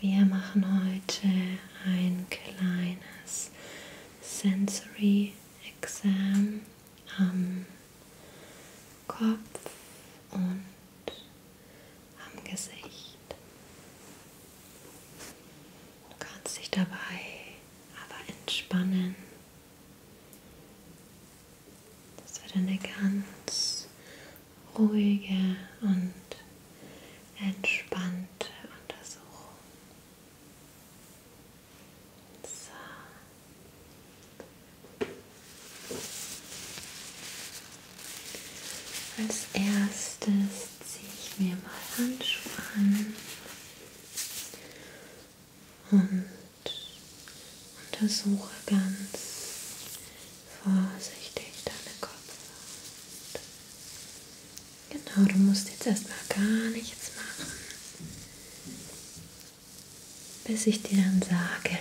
Wir machen heute ein kleines Sensory Exam am Kopf und am Gesicht. Du kannst dich dabei aber entspannen. Das wird eine ganz ruhige und entspannte Untersuchung. So. Als erstes ziehe ich mir mal Handschuhe an und untersuche ganz vorsichtig deine Kopfhaut. Genau, du musst jetzt erstmal gar nichts machen, bis ich dir dann sage,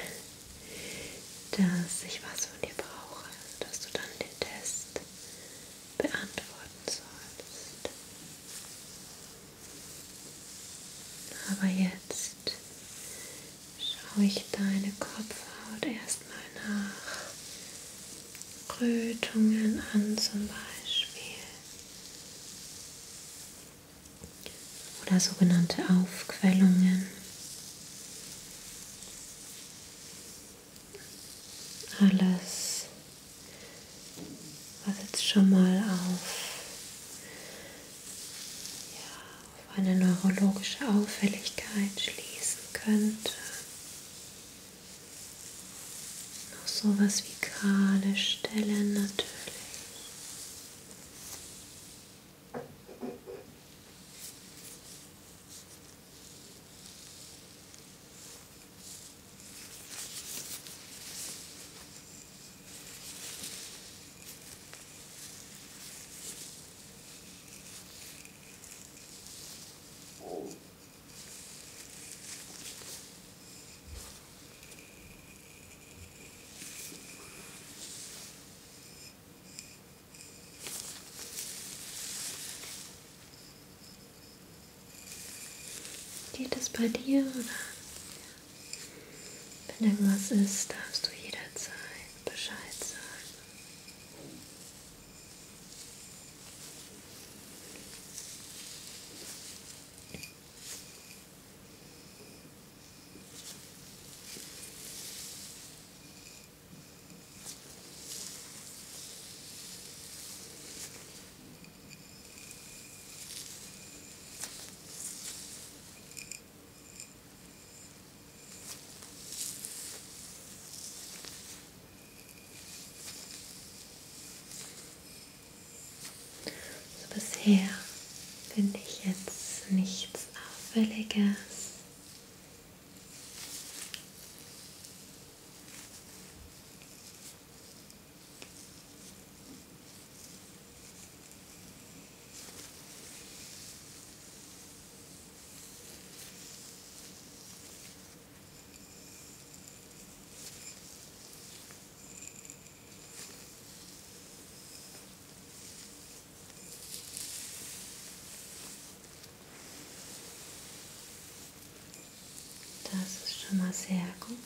dass ich was von dir brauche, dass du dann den Test beantworten sollst. Aber jetzt ist, schaue ich deine Kopfhaut erstmal nach Rötungen an zum Beispiel oder sogenannte Aufquellungen. Alles, was jetzt schon mal auf auf eine neurologische Auffälligkeit schließen könnte. Noch sowas wie gerade Stellen natürlich. Geht es bei dir oder wenn irgendwas ist, darfst du jederzeit Bescheid sagen. So, bisher finde ich jetzt nichts Auffälliges. Das ist schon mal sehr gut.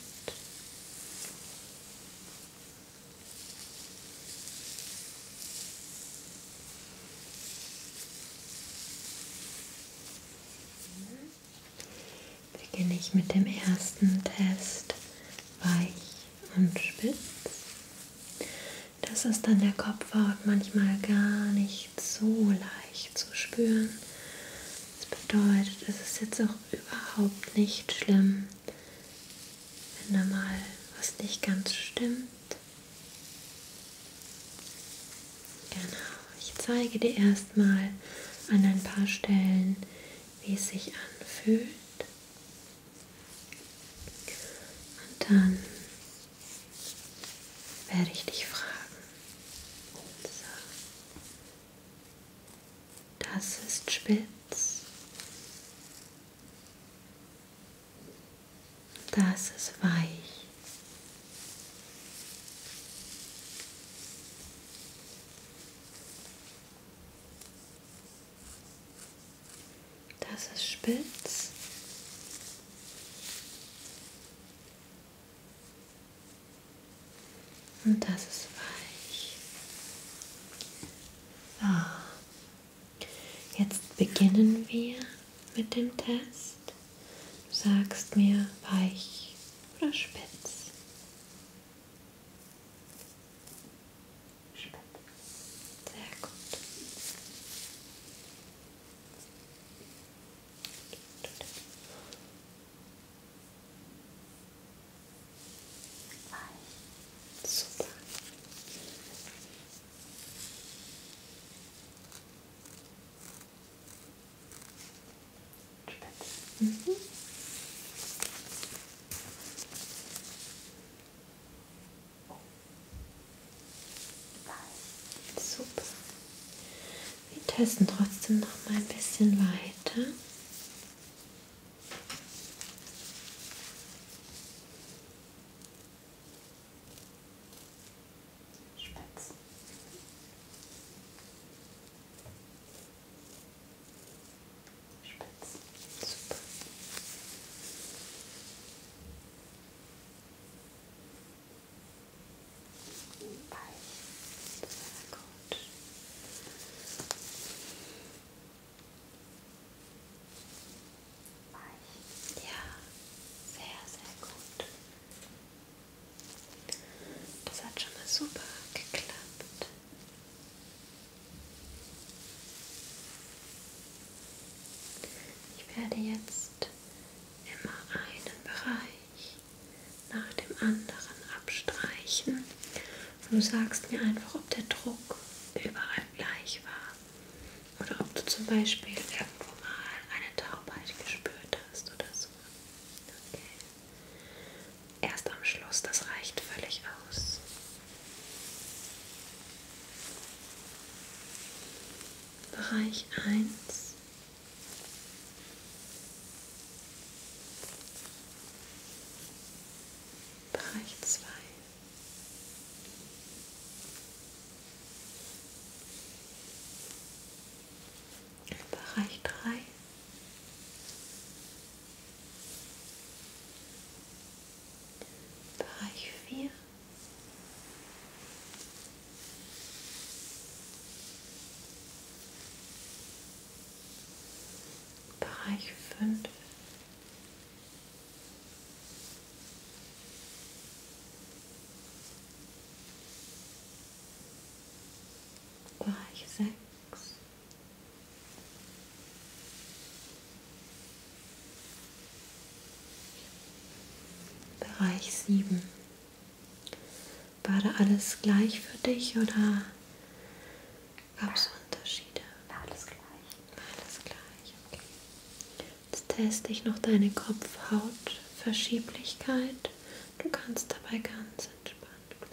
Beginne ich mit dem ersten Test weich und spitz. Das ist an der Kopfhaut manchmal gar nicht so leicht zu spüren. Das bedeutet, es ist jetzt auch überhaupt nicht schlimm, wenn da mal was nicht ganz stimmt. Genau, ich zeige dir erstmal an ein paar Stellen, wie es sich anfühlt. Und dann werde ich dich fragen. So. Das ist spitz. Das ist weich. Das ist spitz. Und das ist weich. So. Jetzt beginnen wir mit dem Test. Du sagst mir weich oder spitz. Spitz. Sehr gut. Weich. Super. Spitz. Mhm. Super. Wir testen trotzdem noch mal ein bisschen weiter. Spitz. Spitz. Super. Weich. Circle. Weich. Ja, sehr, sehr gut. Das hat schon mal super geklappt. Ich werde jetzt immer einen Bereich nach dem anderen abstreichen. Und du sagst mir einfach, ob der Druck überall gleich war. Oder ob du zum Beispiel irgendwo mal eine Taubheit gespürt hast oder so. Okay. Erst am Schluss, das reicht völlig aus. Bereich 1 Bereich zwei. Bereich drei. Bereich vier. Bereich 5 Bereich fünf. Bereich sechs. Bereich sieben. War da alles gleich für dich oder gab es Unterschiede? War alles gleich. War alles gleich, okay. Jetzt teste ich noch deine Kopfhautverschieblichkeit. Du kannst dabei ganz entspannt bleiben.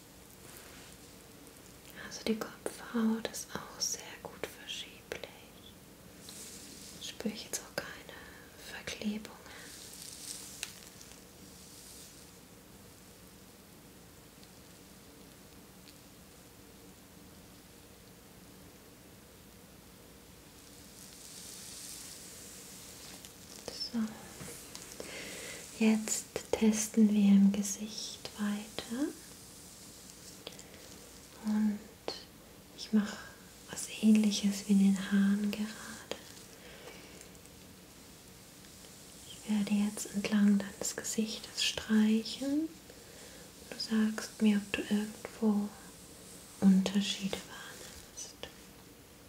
Also die Kopfhaut ist auch sehr gut verschieblich. Spüre ich jetzt auch keine Verklebungen. So. Jetzt Jetzt testen wir im Gesicht weiter. Und ich mache was ähnliches wie in den Haaren gerade. Ich werde jetzt entlang deines Gesichtes streichen. Du sagst mir, ob du irgendwo Unterschiede wahrnimmst.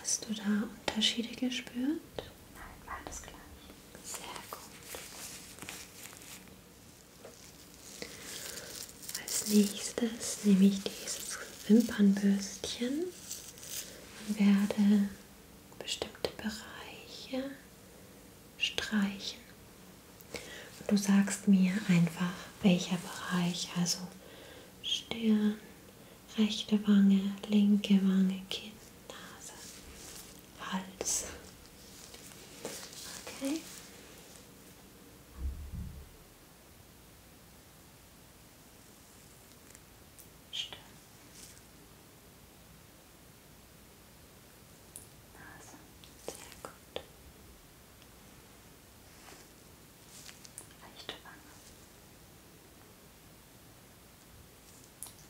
Hast du da Unterschiede gespürt? Nein, war das gleich. Sehr gut. Als nächstes nehme ich dieses Wimpernbürstchen und werde bestimmte Bereiche streichen. Und du sagst mir einfach, welcher Bereich, also Stirn, rechte Wange, linke Wange, Kinn, Nase, Hals. Okay. Stirn, Nase, sehr gut. Leichte Wange,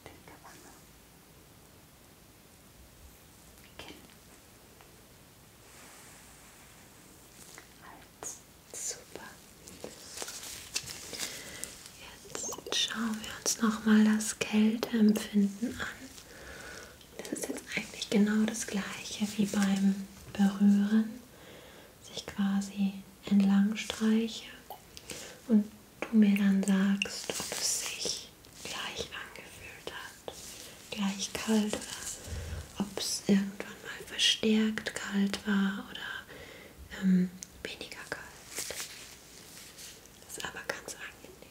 linke Wange, Kinn, Hals, super. Jetzt schauen wir uns nochmal das Kälteempfinden an. Das ist jetzt eigentlich genau das gleiche wie beim Berühren. Sich quasi entlang streiche und du mir dann sagst, ob es sich gleich angefühlt hat, gleich kalt oder ob es irgendwann mal verstärkt kalt war oder ähm, weniger kalt. Ist aber ganz angenehm.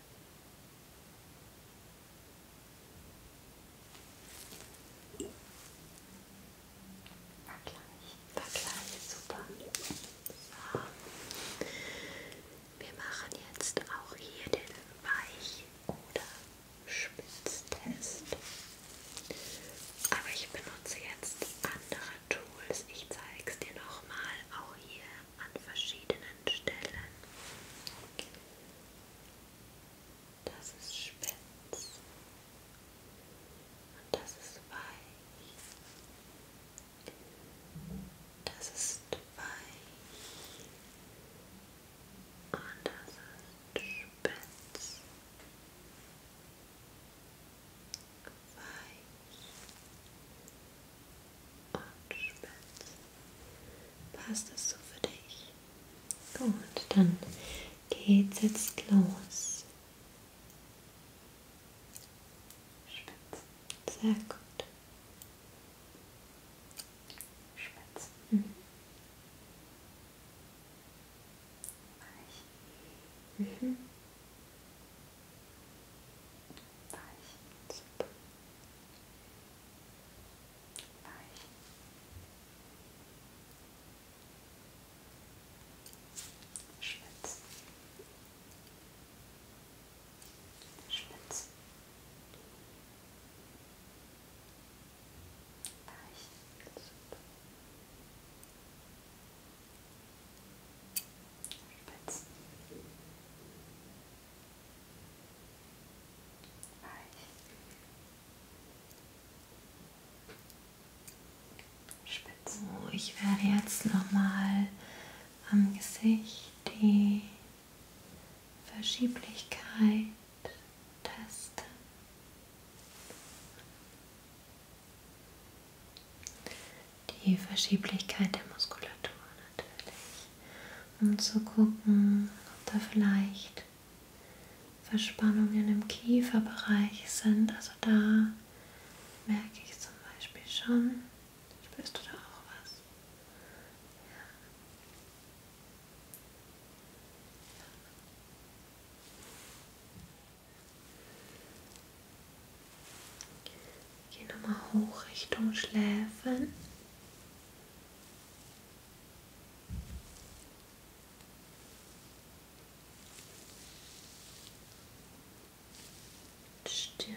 War gleich, war gleich, super. So. Wir machen jetzt auch hier den Weich- oder Spitztest. Aber ich benutze jetzt andere Tools. Ich zeige es dir nochmal. Auch hier an verschiedenen Stellen. Das ist spitz und das ist weich. Das ist weich und das ist spitz weich und spitz. Passt das so für dich? Gut, dann geht's jetzt los. Spitz. Sehr gut. Spitz. Mhm. Weich. Mhm. Weich. Weichen. Weichen. Schwitzen. Schwitzen. Weichen. Weichen. Spitz. Weich. Spitz. Oh, ich werde jetzt nochmal am Gesicht die Verschieblichkeit testen die Verschieblichkeit der Muskulatur natürlich, um zu gucken, ob da vielleicht Verspannungen im Kieferbereich sind. Also da merke ich zum Beispiel schon, spürst du da auch was? Ja. Geh nochmal hoch Richtung Schläfen. Stirn.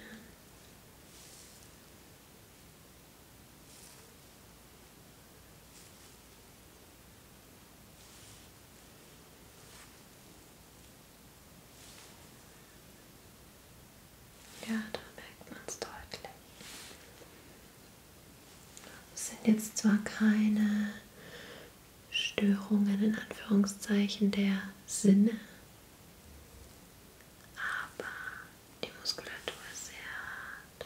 Ja, da merkt man es deutlich. Es sind jetzt zwar keine Störungen in Anführungszeichen der Sinne, aber die Muskulatur ist sehr hart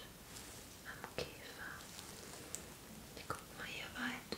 am Käfer. Ich guck mal hier weiter.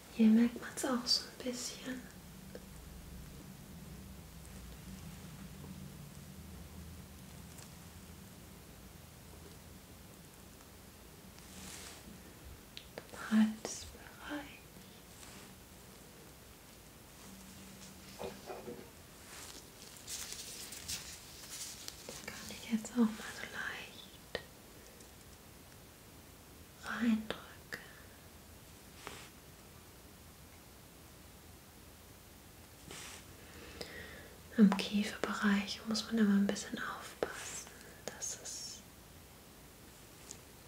Hier merkt man es auch so ein bisschen. Halsbereich. Das kann ich jetzt auch mal so leicht reindrücke. Im Kieferbereich muss man immer ein bisschen aufpassen, dass es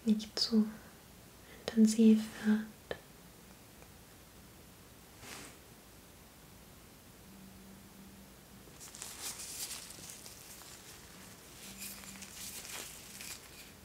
nicht zu intensiv wird.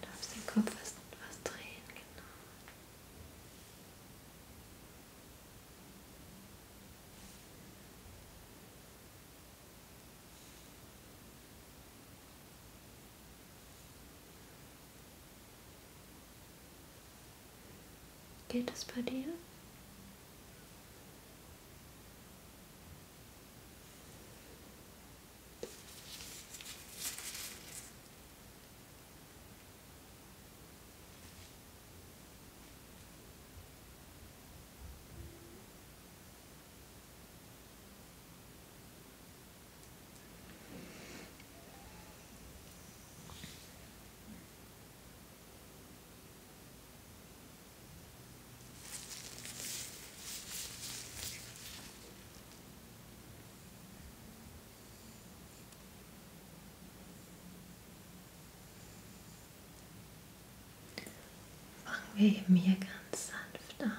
Du darfst den Kopf erst etwas drehen, genau. Geht es bei dir? Fangen wir eben hier ganz sanft an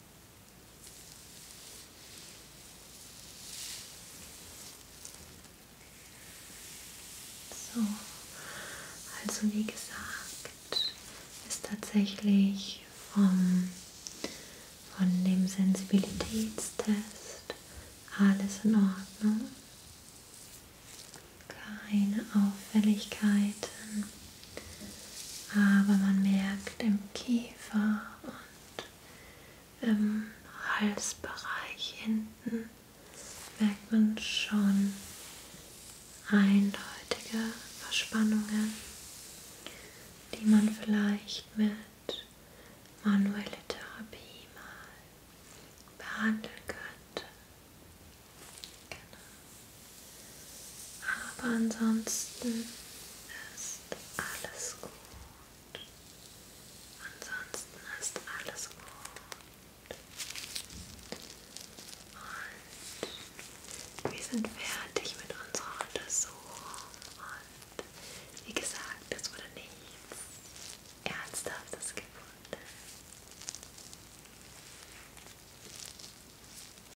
So, also wie gesagt, ist tatsächlich vom, von dem Sensibilitätstest alles in Ordnung. Keine Auffälligkeiten. Aber man merkt im Kiefer und im Halsbereich hinten merkt man schon eindeutige Verspannungen, die man vielleicht mit manueller Therapie mal behandeln könnte. Genau. Aber ansonsten ist alles gut. Ansonsten ist alles gut. Und wir sind fertig mit unserer Untersuchung. Und wie gesagt, es wurde nichts Ernsthaftes gefunden.